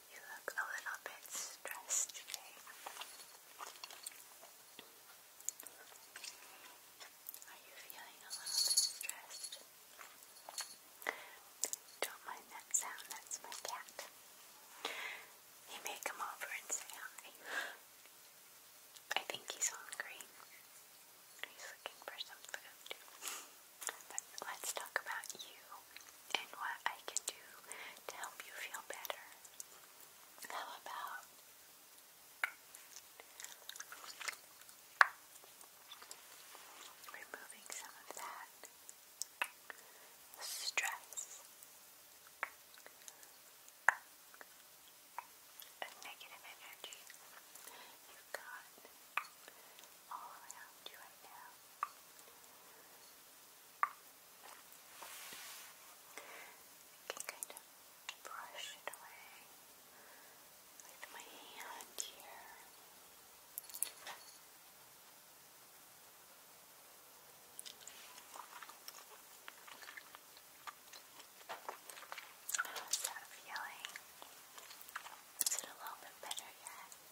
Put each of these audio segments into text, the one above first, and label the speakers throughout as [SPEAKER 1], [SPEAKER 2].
[SPEAKER 1] You look a little bit stressed today. Are you feeling a little bit stressed? Don't mind that sound, that's my cat. He may come over and say hi. I think he's hungry. He's looking for some food. But let's talk about you and what I can do to help you feel better. How about removing some of that stress and negative energy you've got all around you right now? I can kind of brush it away with my hand here. How's oh, that Is it a little bit better yet?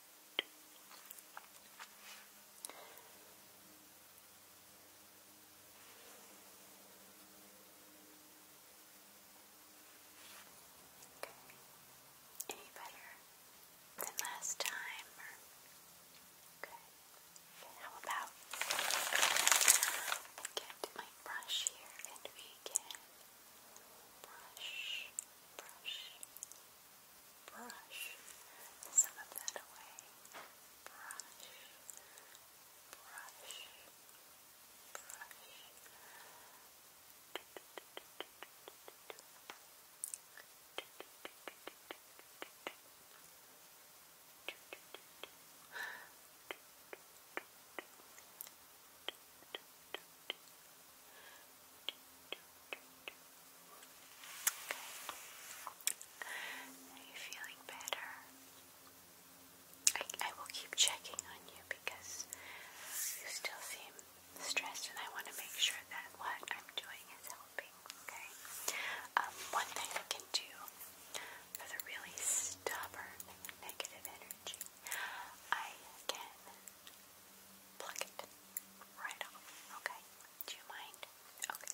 [SPEAKER 1] Okay. Any better than last time? Okay. okay. How about get my brush here and we can brush, brush, brush some of that away. Brush, brush, brush. Brush, are you feeling better? I, I will keep checking on you because you still seem stressed, and I want to make sure that what I'm doing is helping. Okay. Um, one thing I can do for the really stubborn negative energy, I can pluck it right off. Okay? Do you mind? Okay.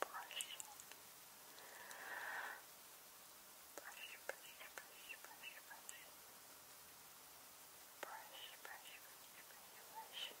[SPEAKER 1] brushing. Brush, brush, brush, brush, brush. Brush, brush, brush, brush, brush. Shoop. Shoop.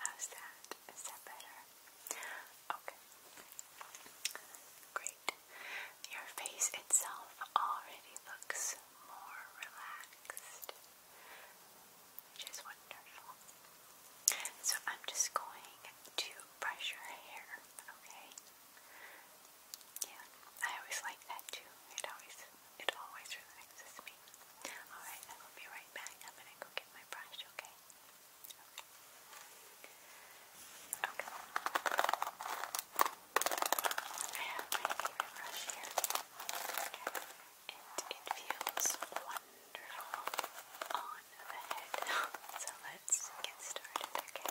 [SPEAKER 1] How's that? Is that better? Okay. Great. Your face itself already looks more relaxed, which is wonderful. So I'm just going to brush your hair, okay? Yeah, I always like that too. It always it always relaxes me. Alright, I will be right back. I'm gonna go get my brush, okay? Okay. I have my favorite brush here. And it feels wonderful on the head. so let's get started, Okay.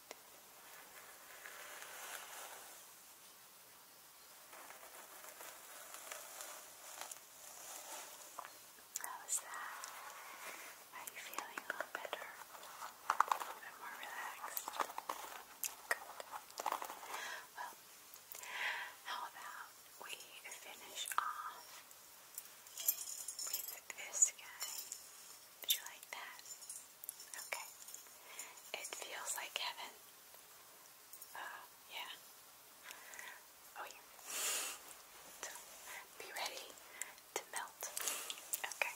[SPEAKER 1] How's that? Are you feeling a little better? A little bit more relaxed? Good. Well, how about we finish off with this guy? Would you like that? Okay. It feels like heaven. Uh, yeah. Oh, yeah. So, be ready to melt. Okay.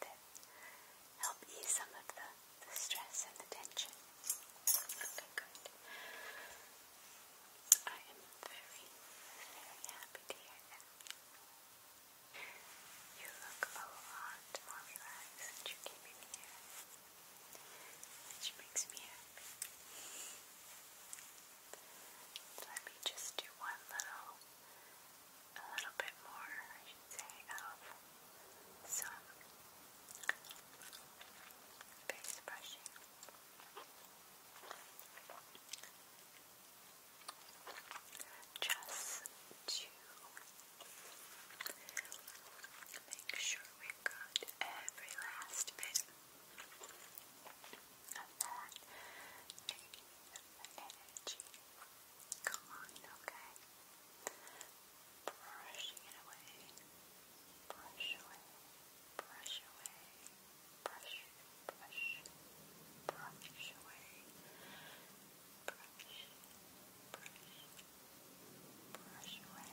[SPEAKER 1] Did help ease some of the, the stress and the tension? Okay, good. I am very, very happy to hear that. You look a lot more relaxed since you came in here, which makes me happy. Let me just do one little a little bit more, I should say, of some face brushing. Just to make sure we got every last bit of that energy. Come on, okay? Brushing it away. Brush away. Brush away. Brush, brush, brush away. Brush, brush, Brush away.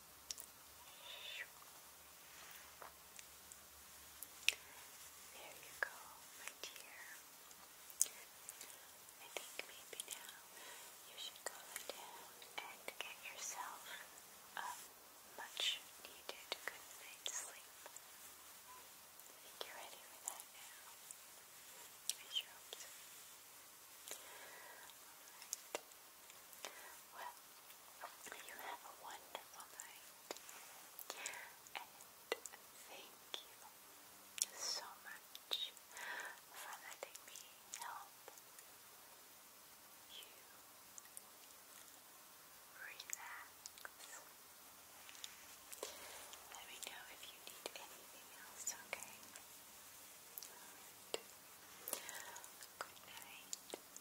[SPEAKER 1] There you go, my dear. I think maybe now you should go down and get yourself a much needed good night's sleep. I think you're ready for that now. I sure well, you have a wonderful night. And thank you so much for letting me help you relax. Let me know if you need anything else, okay? Good night.